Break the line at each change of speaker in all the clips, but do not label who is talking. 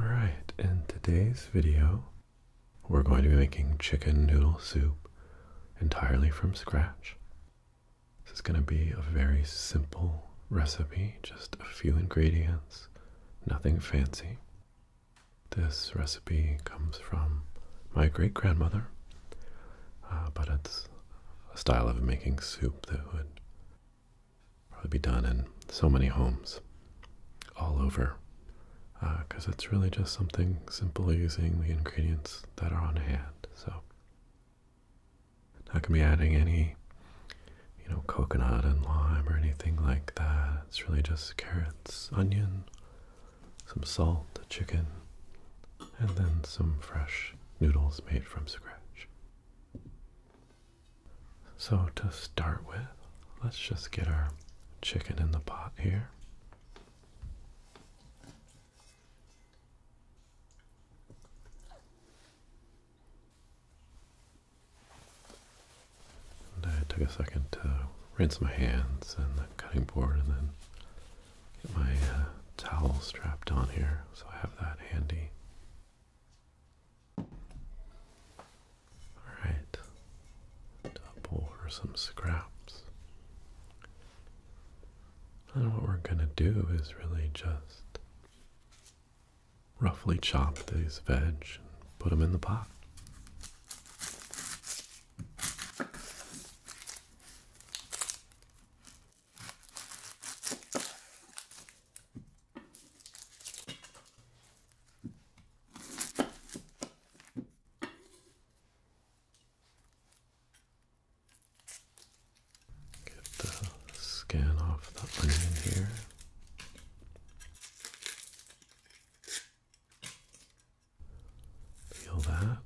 Alright, in today's video, we're going to be making chicken noodle soup entirely from scratch. This is going to be a very simple recipe, just a few ingredients, nothing fancy. This recipe comes from my great grandmother, uh, but it's a style of making soup that would probably be done in so many homes all over because uh, it's really just something simple using the ingredients that are on hand. So, not gonna be adding any, you know, coconut and lime or anything like that. It's really just carrots, onion, some salt, a chicken, and then some fresh noodles made from scratch. So to start with, let's just get our chicken in the pot here. I took a second to rinse my hands and the cutting board and then get my uh, towel strapped on here so I have that handy. Alright, up over some scraps. And what we're going to do is really just roughly chop these veg and put them in the pot. Get the skin off the onion here. Peel that.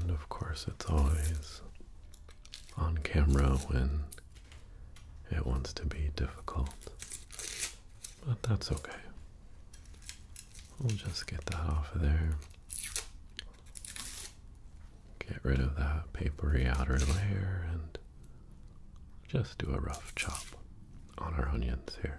And of course, it's always on camera when it wants to be difficult, but that's okay. We'll just get that off of there. Get rid of that papery outer layer and just do a rough chop on our onions here.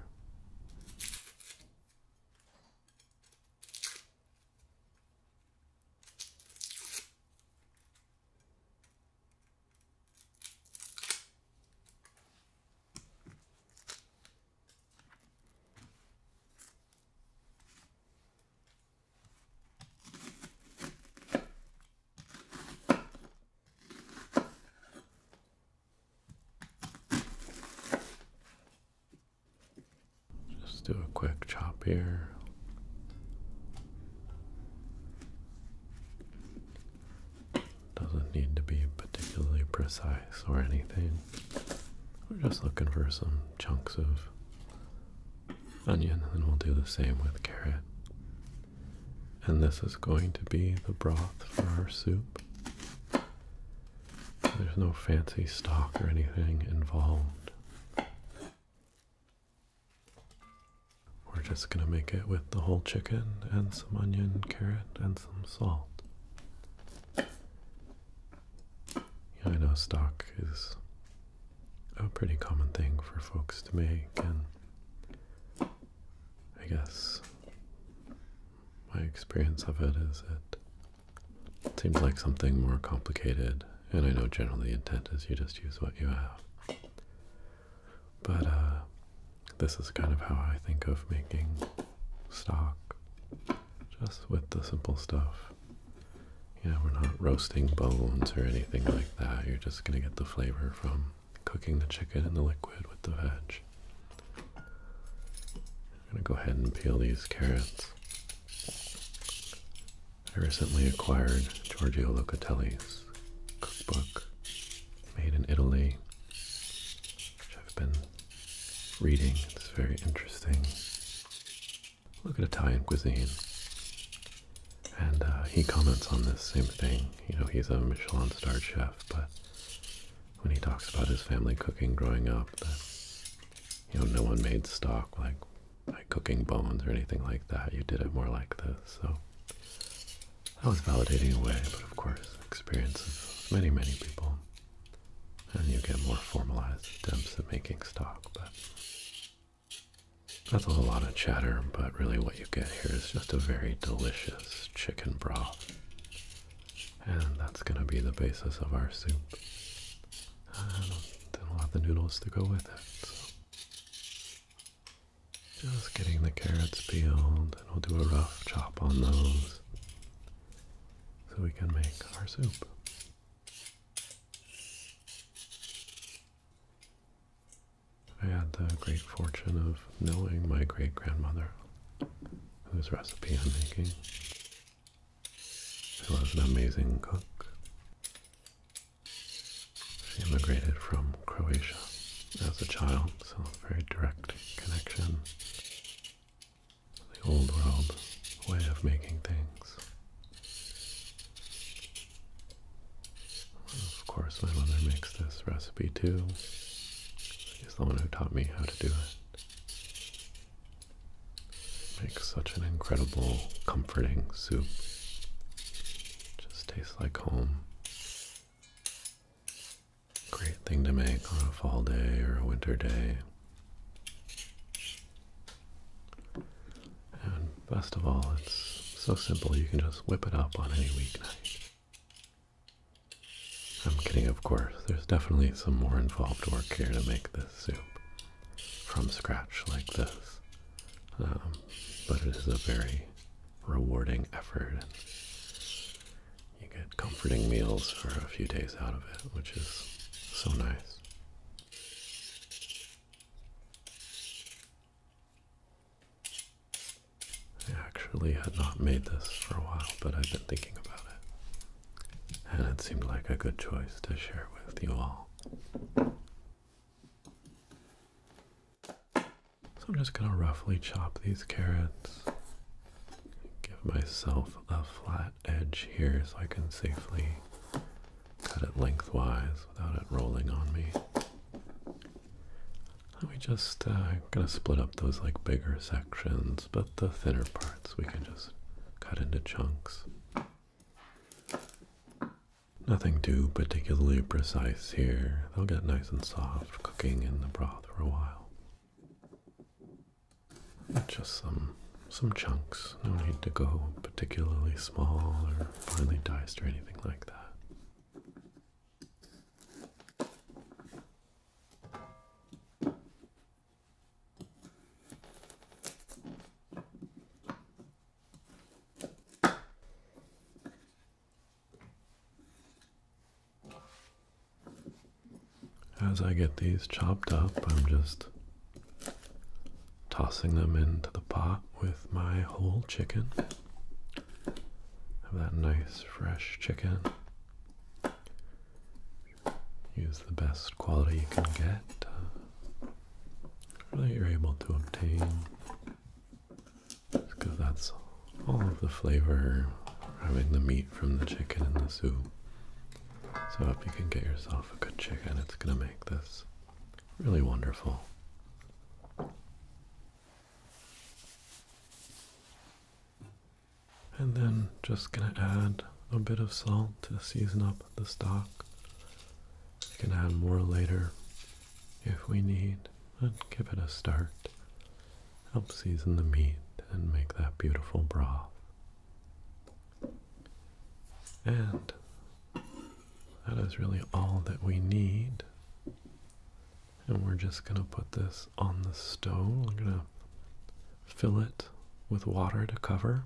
Just do a quick chop here. Doesn't need to be particularly precise or anything. We're just looking for some chunks of onion, and we'll do the same with carrot. And this is going to be the broth for our soup. There's no fancy stock or anything involved. We're just going to make it with the whole chicken and some onion, carrot, and some salt. Yeah, I know stock is a pretty common thing for folks to make, and I guess my experience of it is it seems like something more complicated, and I know generally the intent is you just use what you have. But uh, this is kind of how I think of making stock, just with the simple stuff. Yeah, we're not roasting bones or anything like that. You're just going to get the flavor from cooking the chicken in the liquid with the veg. I'm going to go ahead and peel these carrots. I recently acquired Giorgio Locatelli's cookbook made in Italy, which I've been reading. It's very interesting look at Italian cuisine. And uh, he comments on this same thing. You know, he's a Michelin starred chef, but when he talks about his family cooking growing up, you know, no one made stock like like cooking bones or anything like that. You did it more like this. So that was validating a way, but of course, experience of many, many people. And you get more formalized attempts at making stock, but that's a lot of chatter, but really what you get here is just a very delicious chicken broth. And that's going to be the basis of our soup. And then we'll have the noodles to go with it. So just getting the carrots peeled, and we'll do a rough chop on those so we can make our soup. I had the great fortune of knowing my great grandmother, whose recipe I'm making. She was an amazing cook. She immigrated from Croatia as a child, so a very direct connection to the old world way of making things. Of course, my mother makes this recipe too. She's the one who taught me how to do it. Makes such an incredible, comforting soup. Just tastes like home. Great thing to make on a fall day or a winter day. And best of all, it's so simple you can just whip it up on any weeknight. I'm kidding, of course. There's definitely some more involved work here to make this soup from scratch like this. Um, but it is a very rewarding effort. you get comforting meals for a few days out of it, which is so nice. I actually had not made this for a while, but I've been thinking about it. And it seemed like a good choice to share with you all. So I'm just going to roughly chop these carrots, give myself a flat edge here so I can safely cut it lengthwise without it rolling on me. Let me just, uh, gonna split up those like bigger sections, but the thinner parts we can just cut into chunks. Nothing too particularly precise here. They'll get nice and soft cooking in the broth for a while. Just some some chunks. No need to go particularly small or finely diced or anything like that. As I get these chopped up, I'm just tossing them into the pot with my whole chicken. Have that nice fresh chicken. Use the best quality you can get Really, uh, you're able to obtain because that's all of the flavor having the meat from the chicken in the soup so if you can get yourself a good chicken. It's going to make this really wonderful. And then just going to add a bit of salt to season up the stock. We can add more later if we need. And give it a start. Help season the meat and make that beautiful broth. And that is really all that we need. And we're just going to put this on the stove. I'm going to fill it with water to cover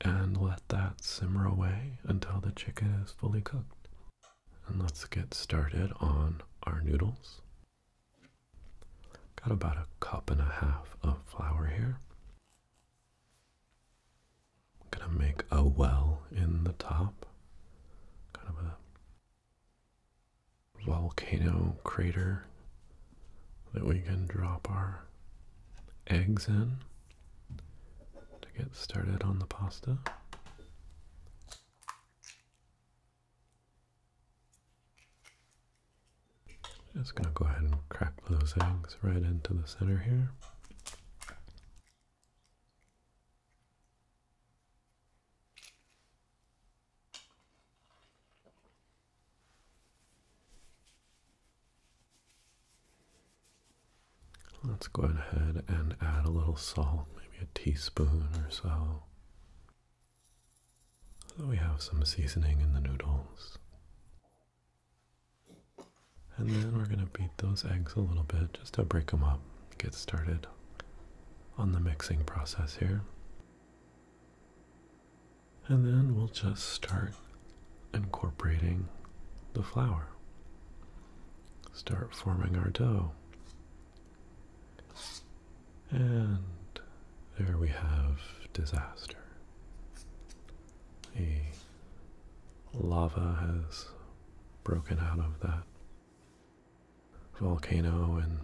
and let that simmer away until the chicken is fully cooked. And let's get started on our noodles. Got about a cup and a half of flour here. I'm gonna make a well in the top, kind of a volcano crater that we can drop our eggs in to get started on the pasta. Just gonna go ahead and crack those eggs right into the center here. Let's go ahead and add a little salt, maybe a teaspoon or so. So we have some seasoning in the noodles. And then we're going to beat those eggs a little bit just to break them up, get started on the mixing process here. And then we'll just start incorporating the flour. Start forming our dough. And there we have disaster the lava has broken out of that volcano and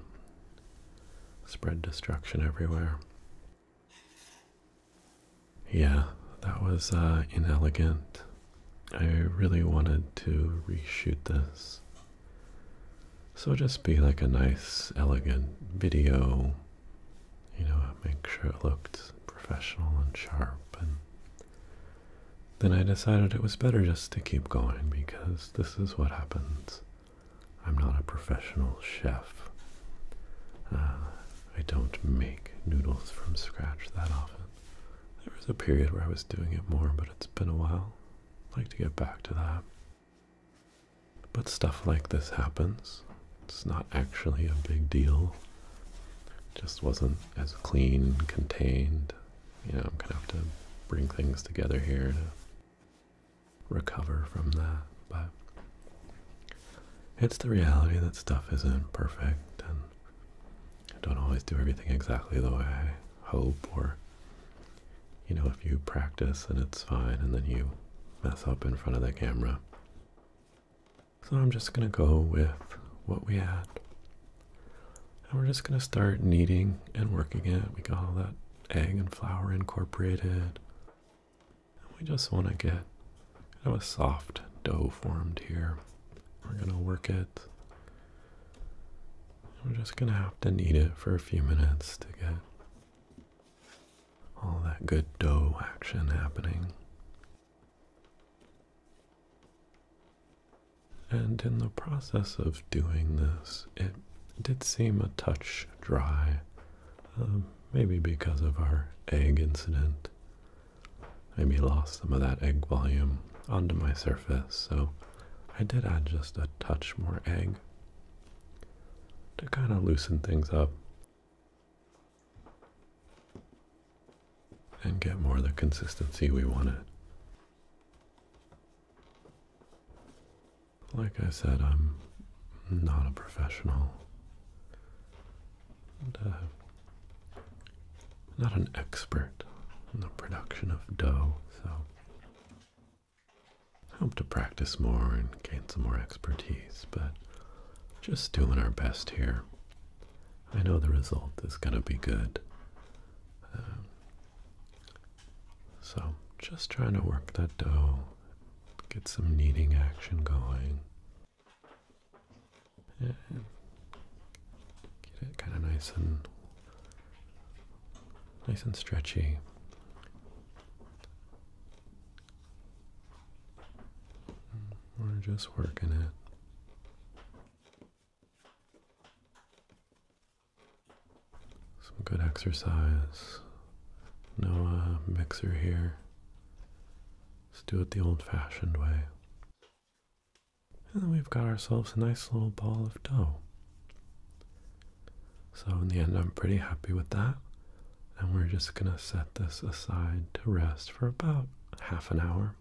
spread destruction everywhere. Yeah, that was uh, inelegant. I really wanted to reshoot this. So just be like a nice, elegant video you know, I make sure it looked professional and sharp. And then I decided it was better just to keep going because this is what happens. I'm not a professional chef. Uh, I don't make noodles from scratch that often. There was a period where I was doing it more, but it's been a while. I'd like to get back to that. But stuff like this happens. It's not actually a big deal. It just wasn't as clean, contained. You know, I'm gonna have to bring things together here to recover from that. But it's the reality that stuff isn't perfect and don't always do everything exactly the way I hope or you know, if you practice and it's fine and then you mess up in front of the camera, so I'm just going to go with what we had. And we're just going to start kneading and working it. We got all that egg and flour incorporated. And we just want to get kind of a soft dough formed here. We're going to work it. We're just going to have to knead it for a few minutes to get all that good dough action happening. And in the process of doing this, it did seem a touch dry, um, maybe because of our egg incident. Maybe lost some of that egg volume onto my surface, so I did add just a touch more egg to kind of loosen things up and get more of the consistency we want it. Like I said, I'm not a professional, uh, not an expert in the production of dough, so I hope to practice more and gain some more expertise, but just doing our best here. I know the result is going to be good. Um, so, just trying to work that dough, get some kneading action going. And get it kind of nice and nice and stretchy. We're just working it. Some good exercise. No mixer here. Let's do it the old fashioned way. And we've got ourselves a nice little ball of dough. So, in the end, I'm pretty happy with that and we're just going to set this aside to rest for about half an hour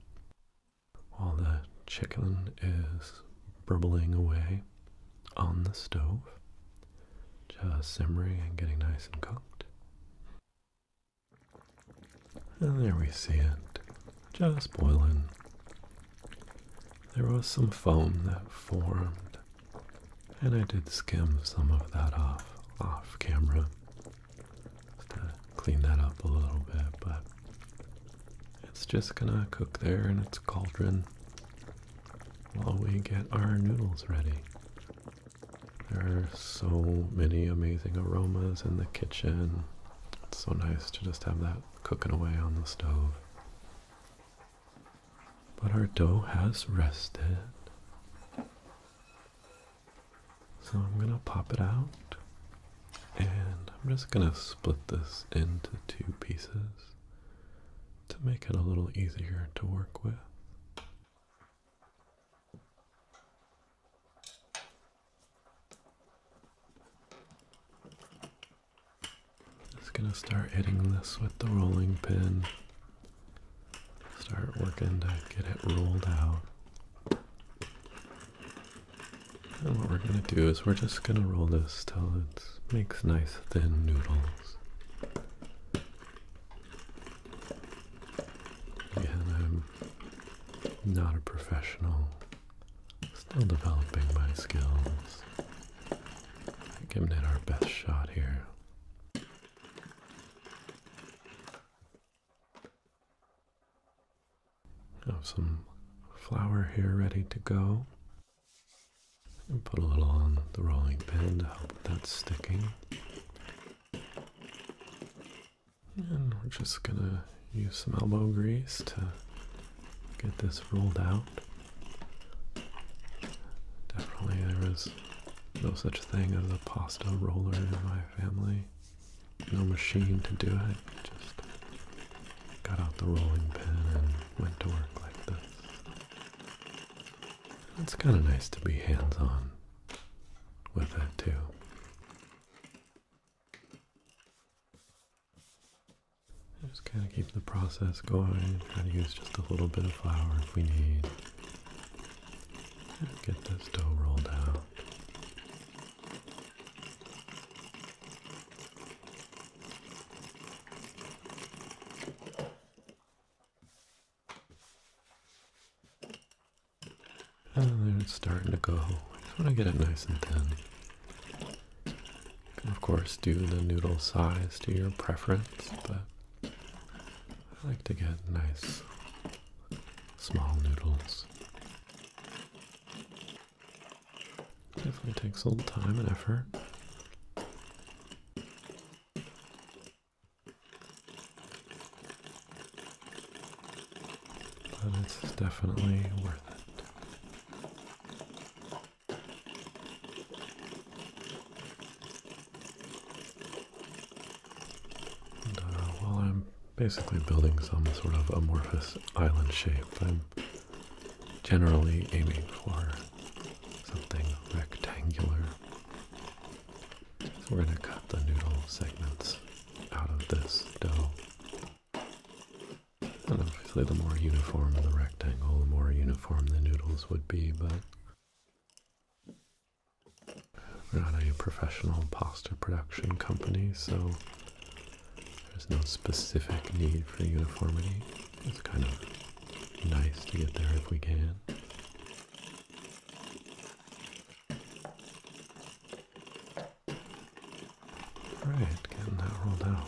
while the chicken is bubbling away on the stove, just simmering and getting nice and cooked. And there we see it, just boiling. There was some foam that formed and I did skim some of that off off camera just to clean that up a little bit, but it's just gonna cook there in its cauldron while we get our noodles ready. There are so many amazing aromas in the kitchen. It's so nice to just have that cooking away on the stove. But our dough has rested. So I'm going to pop it out. And I'm just going to split this into two pieces to make it a little easier to work with. Just gonna start hitting this with the rolling pin Start working to get it rolled out. And what we're going to do is we're just going to roll this till it makes nice thin noodles. Again, I'm not a professional, still developing my skills. Giving it our best shot here. Have some flour here ready to go. And put a little on the rolling pin to help with that sticking. And we're just gonna use some elbow grease to get this rolled out. Definitely there is. No such thing as a pasta roller in my family. No machine to do it. Just got out the rolling pin and went to work like this. It's kind of nice to be hands on with it too. Just kind of keep the process going. Try to use just a little bit of flour if we need. Get this dough rolled out. And oh, then it's starting to go. I just want to get it nice and thin. of course do the noodle size to your preference, but I like to get nice small noodles. Definitely takes a little time and effort. But it's definitely worth it. Uh, While I'm basically building some sort of amorphous island shape. I'm generally aiming for something rectangular. we're going to cut the noodle segments out of this dough. And obviously the more uniform the rectangle, the more uniform the noodles would be, but we're not a professional poster production company, so there's no specific need for uniformity. It's kind of nice to get there if we can. Alright, getting that rolled out.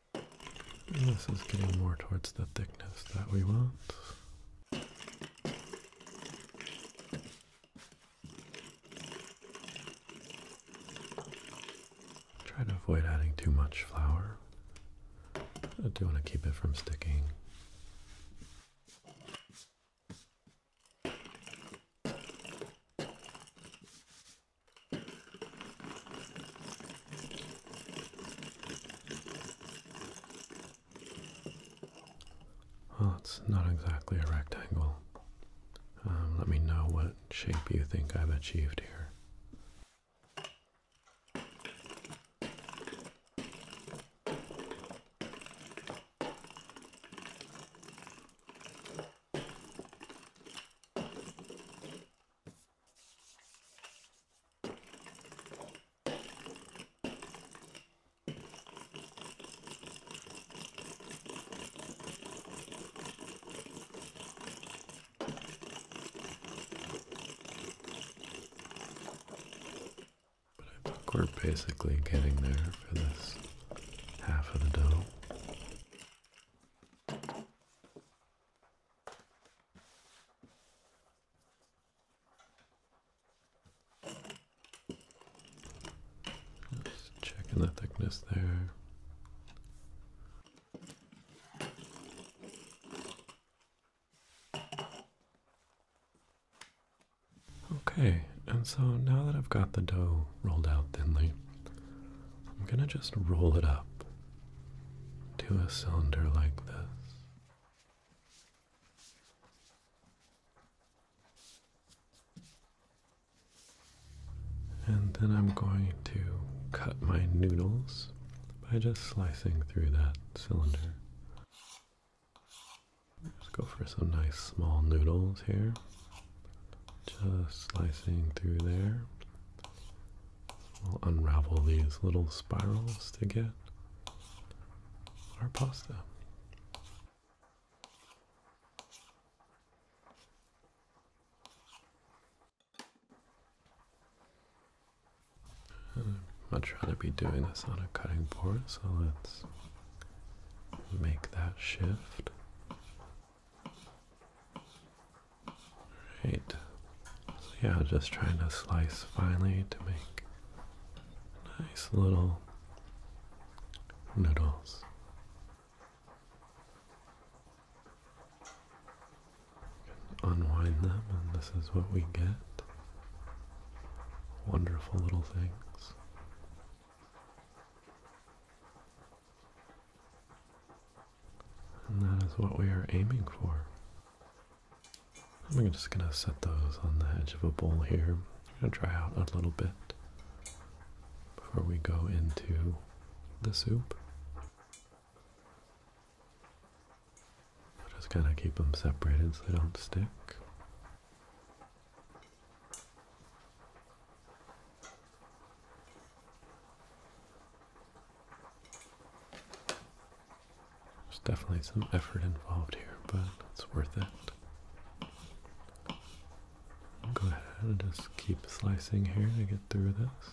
this is getting more towards the thickness that we want. Try to avoid adding too much flour. I do want to keep it from sticking. Well, it's not exactly a rectangle. Um, let me know what shape you think I've achieved here. But we're basically getting there for this half of the dough checking the thickness there. Okay, and so now that I've got the dough rolled out thinly, I'm gonna just roll it up to a cylinder like this. And then I'm going to cut my noodles by just slicing through that cylinder. Just go for some nice small noodles here. Just slicing through there. We'll unravel these little spirals to get our pasta. Hmm, I'd much rather be doing this on a cutting board, so let's make that shift. Alright. So yeah, just trying to slice finely to make nice little noodles. Unwind them, and this is what we get. Wonderful little things. And that is what we are aiming for. I'm just gonna set those on the edge of a bowl here. I'm gonna dry out a little bit before we go into the soup. Just kind of keep them separated so they don't stick. There's definitely some effort involved here, but it's worth it. go ahead and just keep slicing here to get through this.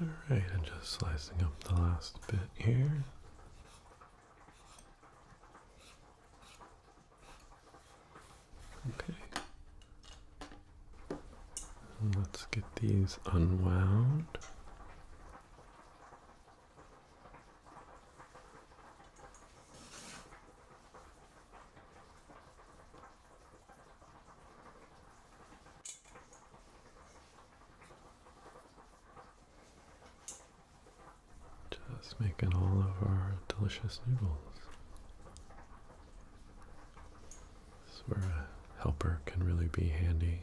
All right, and just slicing up the last bit here. Okay. Let's get these unwound. Just making all of our delicious noodles. This is where a helper can really be handy.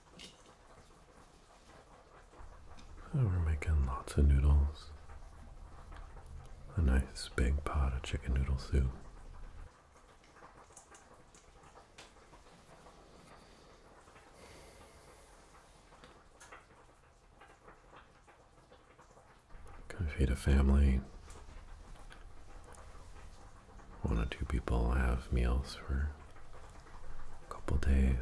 Oh, we're making lots of noodles. A nice big pot of chicken noodle soup. Gonna feed a family one or two people have meals for a couple days.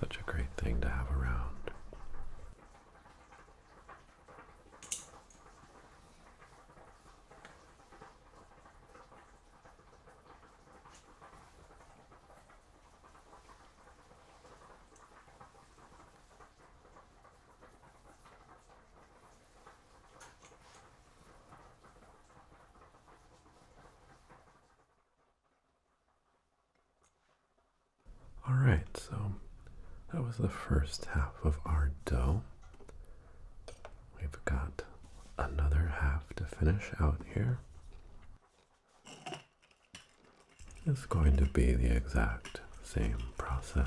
such a great thing to have around. All right, so that was the first half of our dough. We've got another half to finish out here. It's going to be the exact same process.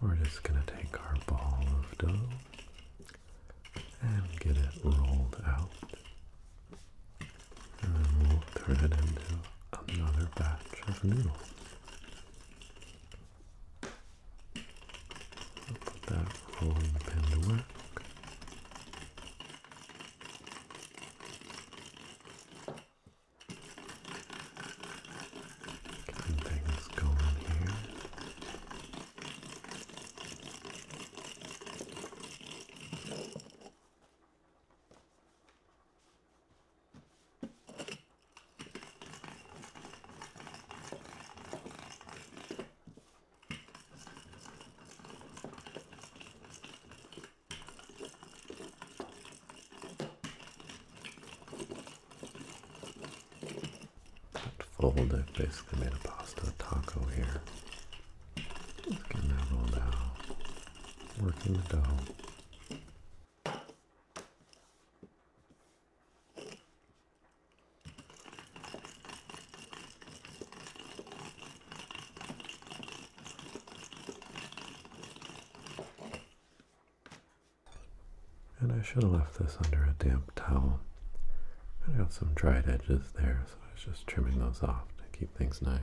We're just going to take our ball of dough and get it rolled out. And we'll turn it into another batch of noodles. We'll put that rolling pin to work. Getting things going here. That fold, I've basically made a pasta taco here. Just getting that rolled out. Working the dough. And I should have left this under a damp towel. I got some dried edges there, so I was just trimming those off to keep things nice.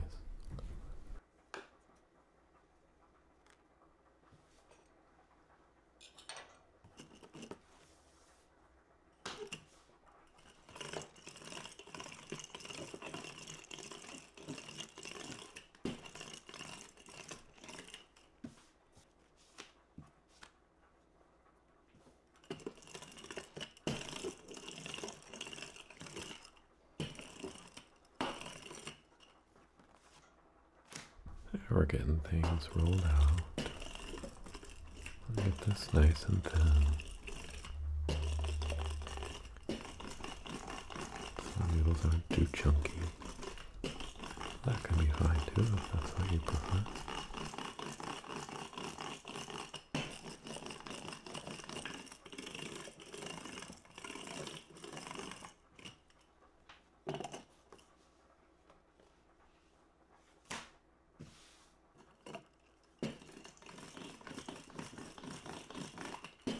We're getting things rolled out. get this nice and thin. So noodles aren't too chunky. That can be fine too if that's what you prefer. Again,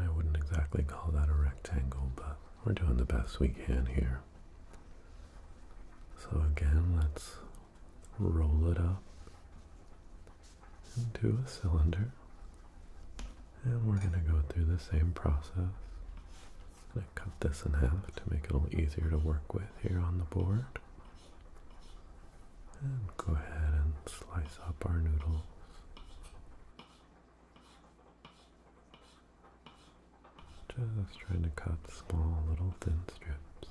I wouldn't exactly call that a rectangle, but we're doing the best we can here. So, again, let's roll it up into a cylinder. And we're going to go through the same process. i going to cut this in half to make it a little easier to work with here on the board. And go ahead and slice up our noodles. Just trying to cut small little thin strips.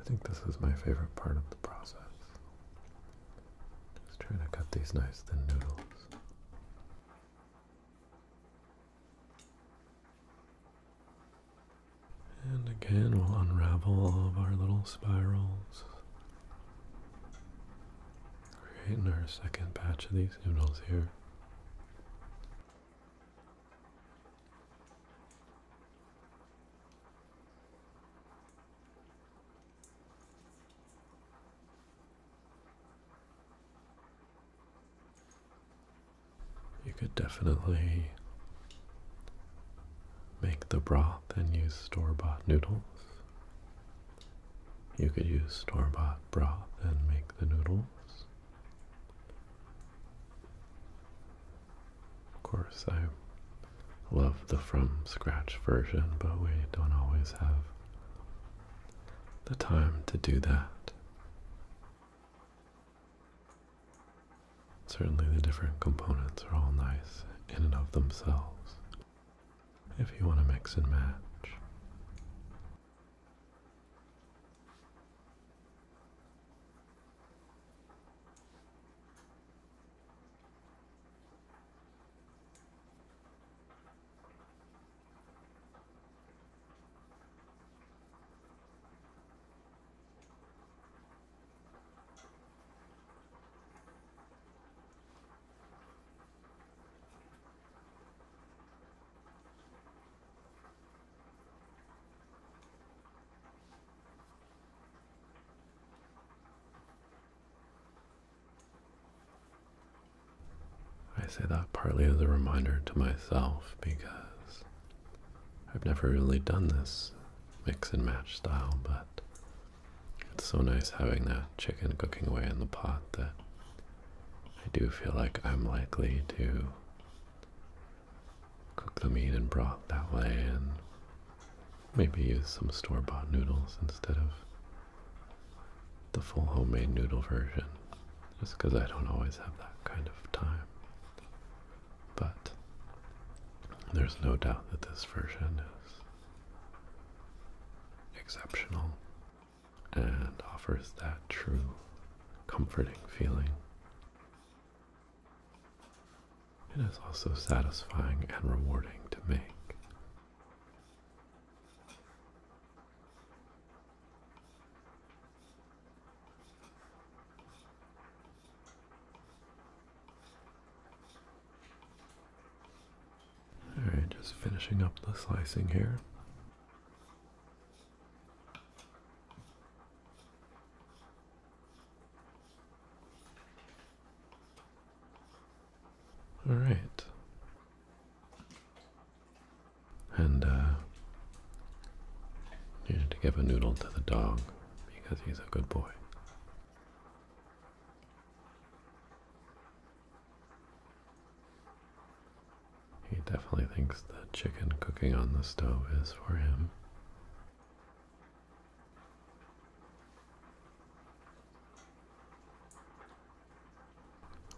I think this is my favorite part of the process. Just trying to cut these nice thin noodles. And again, we'll unravel all of our little spirals, creating our second batch of these noodles here. You could definitely make the broth and use store-bought noodles. You could use store-bought broth and make the noodles. Of course, I love the from scratch version, but we don't always have the time to do that. Certainly, the different components are all nice in and of themselves if you want to mix and match. I say that partly as a reminder to myself because I've never really done this mix and match style, but it's so nice having that chicken cooking away in the pot that I do feel like I'm likely to cook the meat and broth that way and maybe use some store-bought noodles instead of the full homemade noodle version just because I don't always have that kind of time. But there's no doubt that this version is exceptional and offers that true comforting feeling. It is also satisfying and rewarding to make. Alright, just finishing up the slicing here. All right and uh, to give a noodle to the dog because he's a good boy. He definitely thinks the chicken cooking on the stove is for him.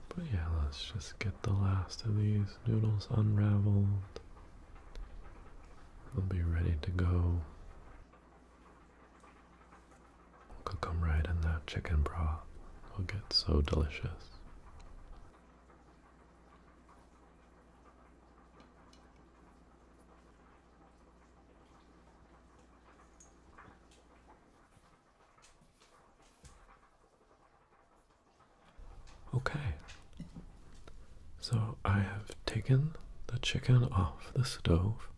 But yeah, let's just get the last of these noodles unraveled. I'll be ready to go. Cook right in that chicken broth. It'll get so delicious. Okay. So I have taken the chicken off the stove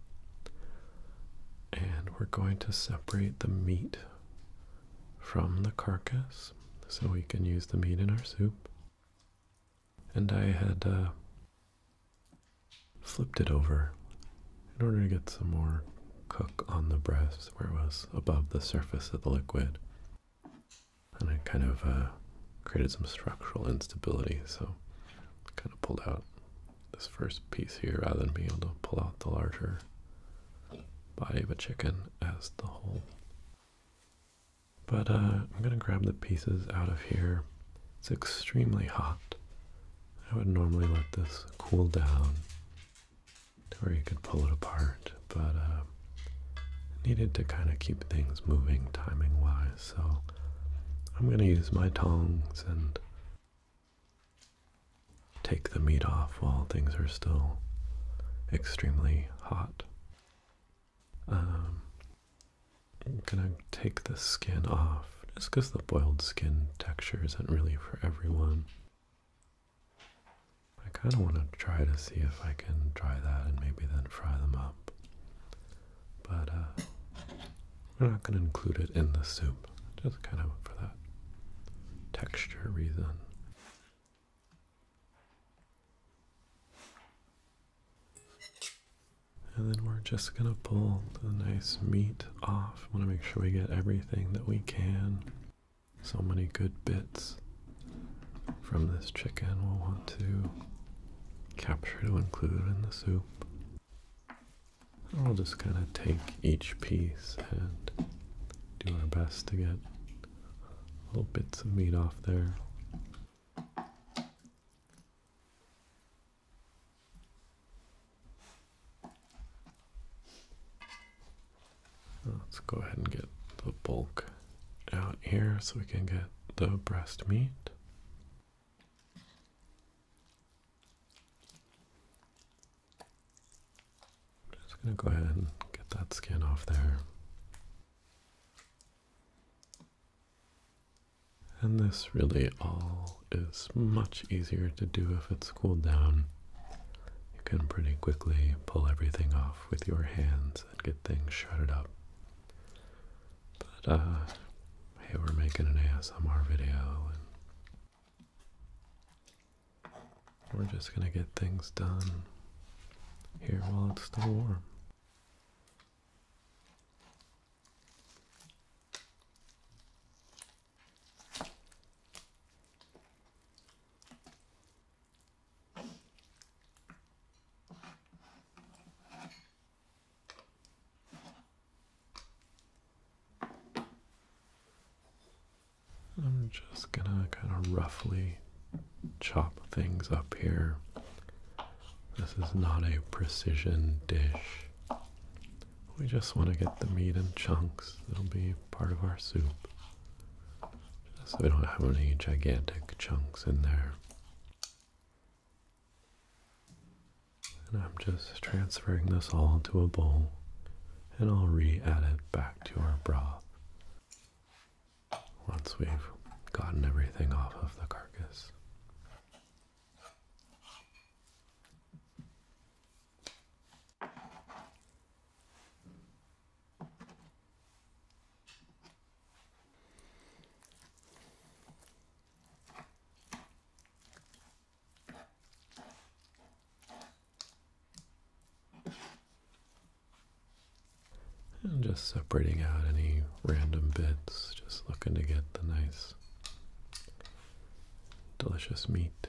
and we're going to separate the meat from the carcass so we can use the meat in our soup. And I had uh, flipped it over in order to get some more cook on the breast where it was above the surface of the liquid and it kind of uh, created some structural instability. So kind of pulled out this first piece here rather than being able to pull out the larger body of a chicken as the whole. But uh, I'm going to grab the pieces out of here. It's extremely hot. I would normally let this cool down to where you could pull it apart, but um, needed to kind of keep things moving timing wise. So I'm going to use my tongs and take the meat off while things are still extremely hot. Um, I'm going to take the skin off just because the boiled skin texture isn't really for everyone. I kind of want to try to see if I can try that and maybe then fry them up. But uh, we're not going to include it in the soup, just kind of for that texture reason. And then we're just going to pull the nice meat off. want to make sure we get everything that we can. So many good bits from this chicken we'll want to capture to include in the soup. I'll just kind of take each piece and do our best to get little bits of meat off there. Let's go ahead and get the bulk out here so we can get the breast meat. I'm just going to go ahead and get that skin off there. And this really all is much easier to do if it's cooled down. You can pretty quickly pull everything off with your hands and get things shredded up. But, uh, hey, we're making an ASMR video and we're just gonna get things done here while it's still warm. I'm just gonna kind of roughly chop things up here. This is not a precision dish. We just want to get the meat in chunks. It'll be part of our soup. So we don't have any gigantic chunks in there. And I'm just transferring this all to a bowl and I'll re-add it back to our broth once we've gotten everything off of the carcass. And just separating out any random bits, just looking to get the nice, delicious meat.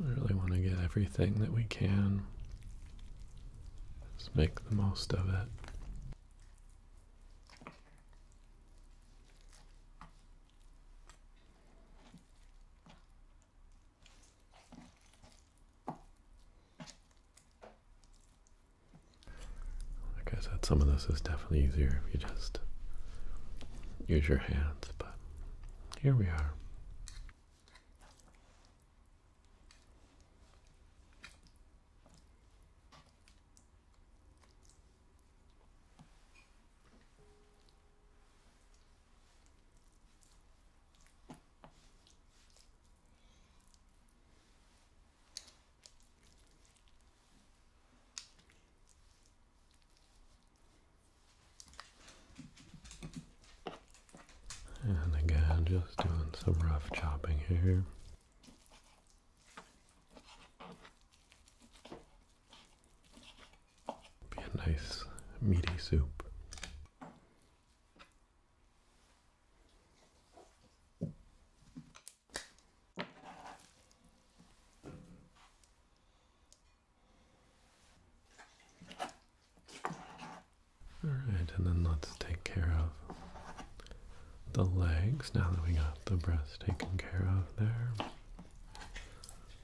I really want to get everything that we can. Just make the most of it. Like I said, some of this is definitely easier if you just use your hands, but here we are. And again, just doing some rough chopping here. Be a nice meaty soup. All right, and then let's take care of the legs now that we got the breasts taken care of there.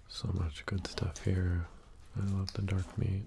So much good stuff here. I love the dark meat.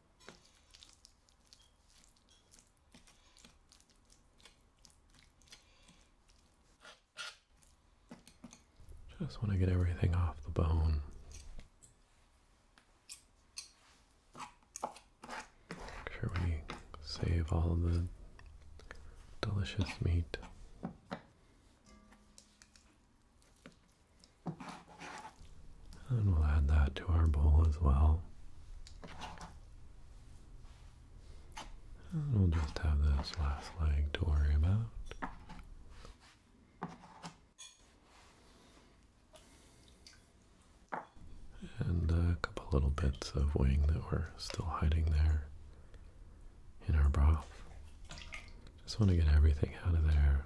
Just want to get everything off the bone. Make sure we save all the delicious meat. And we'll add that to our bowl as well. And we'll just have this last leg to worry about. And a couple little bits of wing that we're still hiding there in our broth. Just want to get everything out of there.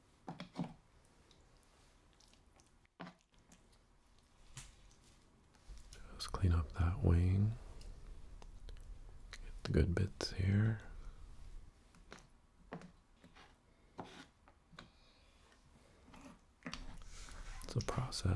Just clean up that wing. Get the good bits here. It's a process.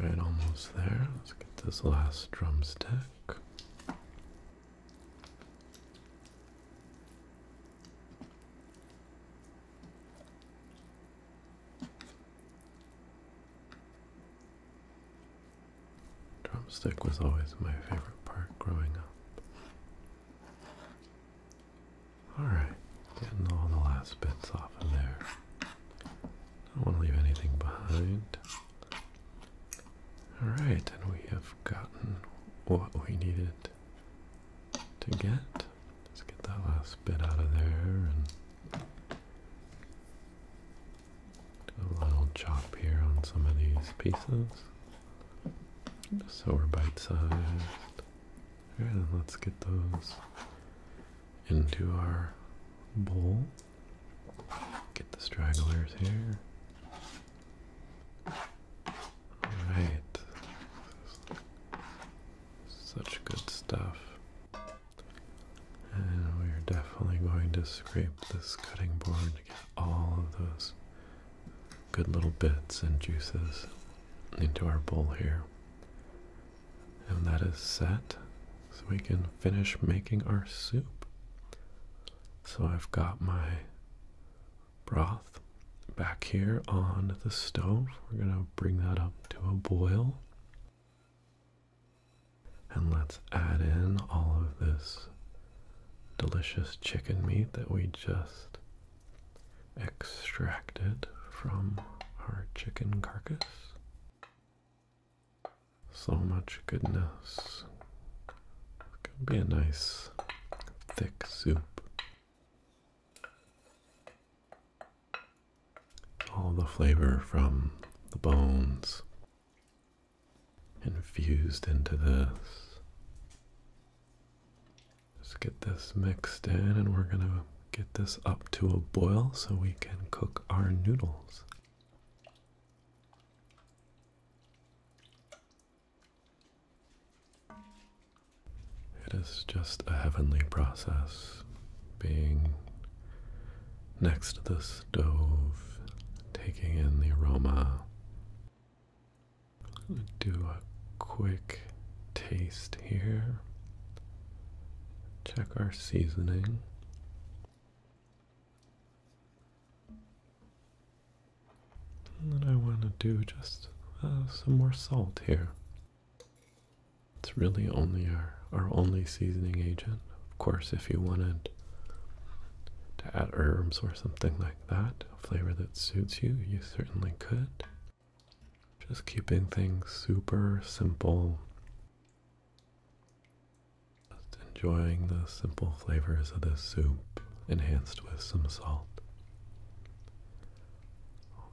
Right, almost there. Let's get this last drumstick. Drumstick was always my favorite part growing up. Alright, getting all the last bits off of there. Don't want to leave anything behind. Alright, and we have gotten what we needed to get. Let's get that last bit out of there and a little chop here on some of these pieces. so we're bite-sized. Alright, let's get those into our bowl. Get the stragglers here. Alright. Such good stuff. And we're definitely going to scrape this cutting board to get all of those good little bits and juices into our bowl here. And that is set so we can finish making our soup. So I've got my broth back here on the stove. We're going to bring that up to a boil. And let's add in all of this delicious chicken meat that we just extracted from our chicken carcass. So much goodness. It's gonna be a nice thick soup all the flavor from the bones infused into this. Just get this mixed in, and we're gonna get this up to a boil so we can cook our noodles. It is just a heavenly process being next to the stove, taking in the aroma. do a quick taste here. Check our seasoning. And then I want to do just uh, some more salt here. It's really only our, our only seasoning agent. Of course, if you wanted to add herbs or something like that, a flavor that suits you, you certainly could. Just keeping things super simple. Just enjoying the simple flavors of this soup, enhanced with some salt.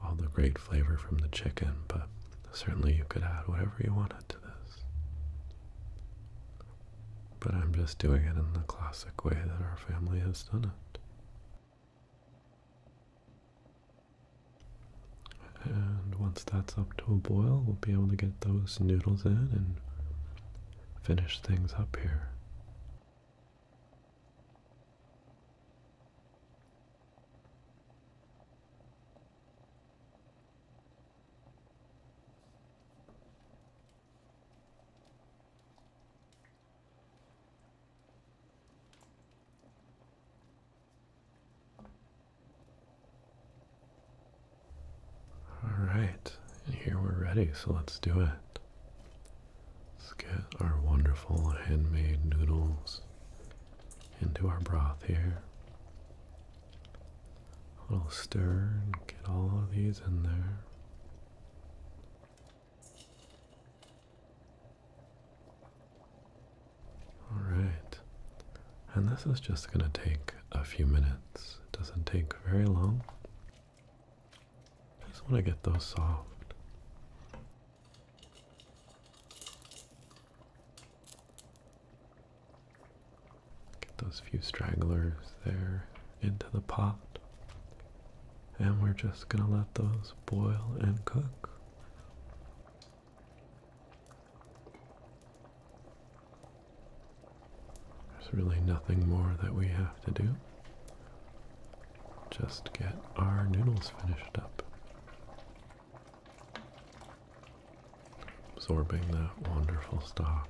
All the great flavor from the chicken, but certainly you could add whatever you wanted to this. But I'm just doing it in the classic way that our family has done it. And once that's up to a boil, we'll be able to get those noodles in and finish things up here. All right, and here we're ready, so let's do it. Let's get our wonderful handmade noodles into our broth here. A little stir and get all of these in there. Alright, and this is just going to take a few minutes. It doesn't take very long. just want to get those soft. Get those few stragglers there into the pot. And we're just going to let those boil and cook. There's really nothing more that we have to do. Just get our noodles finished up absorbing that wonderful stock.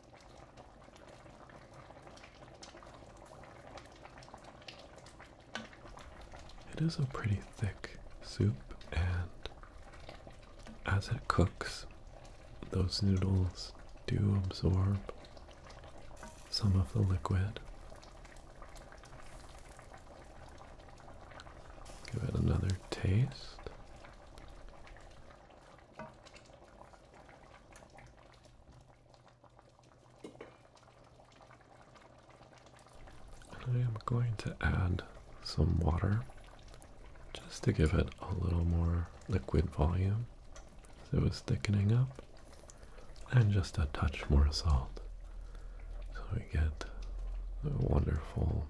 It is a pretty thick soup, and as it cooks, those noodles do absorb some of the liquid. Give it another taste. I am going to add some water just to give it a little more liquid volume as it was thickening up, and just a touch more salt so we get the wonderful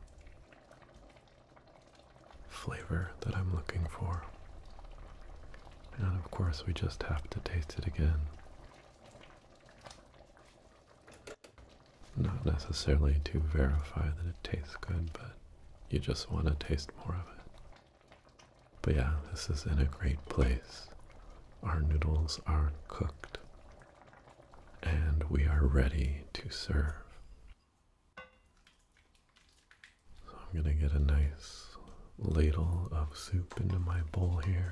flavor that I'm looking for. And of course, we just have to taste it again. Not necessarily to verify that it tastes good, but you just want to taste more of it. But yeah, this is in a great place. Our noodles are cooked, and we are ready to serve. So I'm going to get a nice ladle of soup into my bowl here.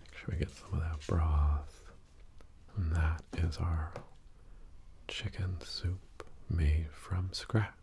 Make sure we get some of that broth. And that is our chicken soup made from scratch.